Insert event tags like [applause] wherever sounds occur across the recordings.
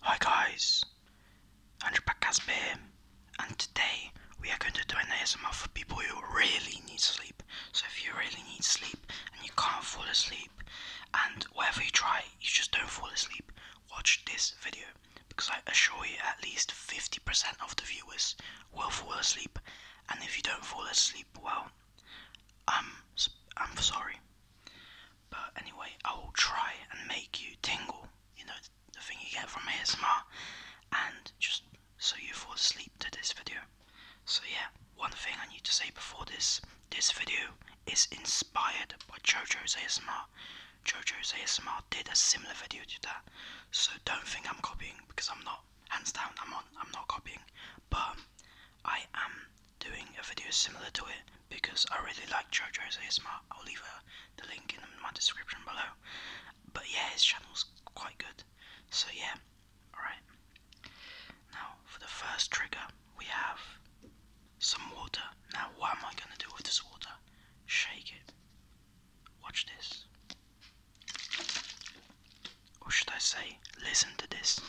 Hi guys, I'm Casper, and today we are going to do an ASMR for people who really need sleep. So if you really need sleep and you can't fall asleep, and whatever you try, you just don't fall asleep, watch this video because I assure you at least 50% of the viewers will fall asleep, and if you don't fall asleep, well, I'm I'm sorry. But anyway, I will try and make you tingle, you know, the thing you get from ASMR, and just so you fall asleep to this video. So, yeah, one thing I need to say before this this video is inspired by JoJo's ASMR. JoJo's ASMR did a similar video to that, so don't think I'm copying because I'm not. Hands down, I'm on. I'm not copying, but I am doing a video similar to it because I really like JoJo's ASMR. I'll leave uh, the link in my description below. But yeah, his channel's quite good. So yeah, alright. Now, for the first trigger, we have some water. Now, what am I going to do with this water? Shake it. Watch this. Or should I say, listen to this?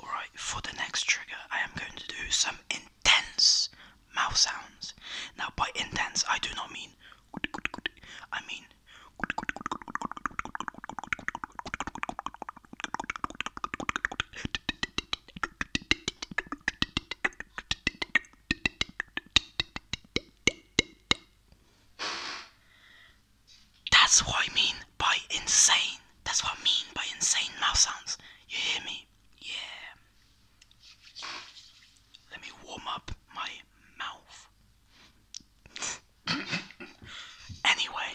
Alright, for the next trigger, I am going to do some intense mouth sounds. Now, by intense, I do not mean. I mean. That's what I mean by insane. That's what I mean by insane mouth sounds. You hear me? Yeah. Let me warm up my mouth. [coughs] anyway,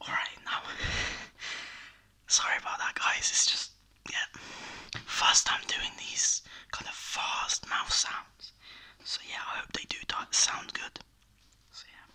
Alright, now, sorry about that, guys. It's just, yeah, first time doing these kind of fast mouth sounds. So, yeah, I hope they do sound good. So, yeah.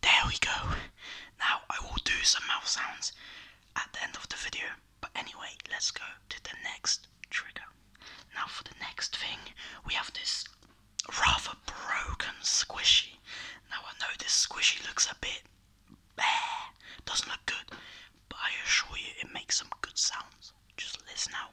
there we go. Now I will do some mouth sounds at the end of the video. But anyway, let's go to the next trigger. Now for the next thing, we have this rather broken squishy. Now I know this squishy looks a bit bare, doesn't look good, but I assure you it makes some good sounds. Just listen out.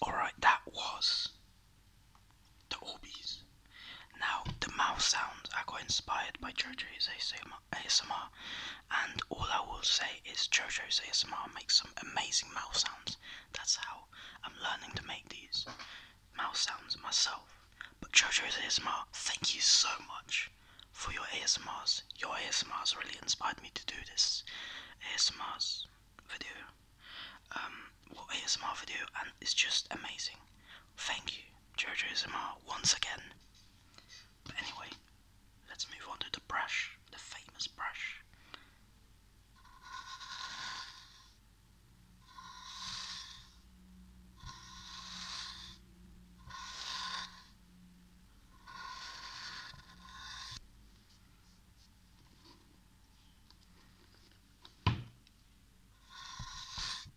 Alright, that was the Orbeez. Now, the mouth sounds I got inspired by JoJo ASMR and all I will say is JoJo's ASMR makes some amazing mouth sounds. That's how I'm learning to make these mouth sounds myself. But JoJo's ASMR, thank you so much for your ASMRs. Your ASMRs really inspired me to do this ASMRs video. Um, well, ASMR video, and it's just amazing. Thank you, JoJo's ASMR, once again. But anyway, Let's move on to the brush, the famous brush.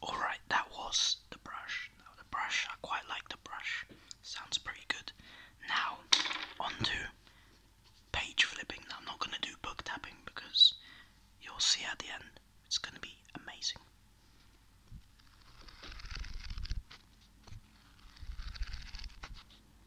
Alright, that was the brush. Now, the brush, I quite like the brush, sounds pretty good. Now, on page flipping. I'm not going to do book tapping because you'll see at the end, it's going to be amazing.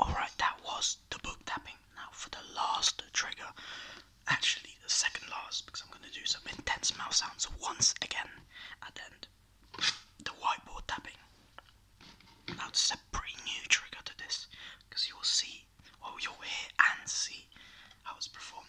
Alright, that was the book tapping. Now, for the last trigger, actually, the second last, because I'm going to do some intense mouse sounds once again at the end the whiteboard tapping. Now this is a pretty new trigger to this because you will see, well you'll hear and see how it's performed.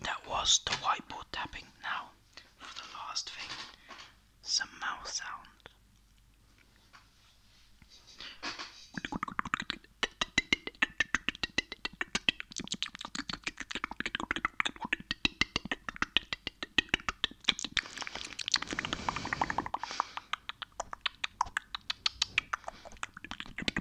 That was the whiteboard tapping. Now, for the last thing, some mouth sound.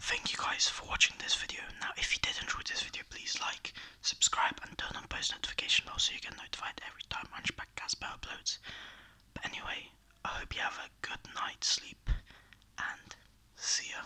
Thank you guys for watching this video. Now if you did enjoy this video please like, subscribe and turn on post notification bell so you get notified every time Hunchback Casper uploads. But anyway, I hope you have a good night's sleep and see ya.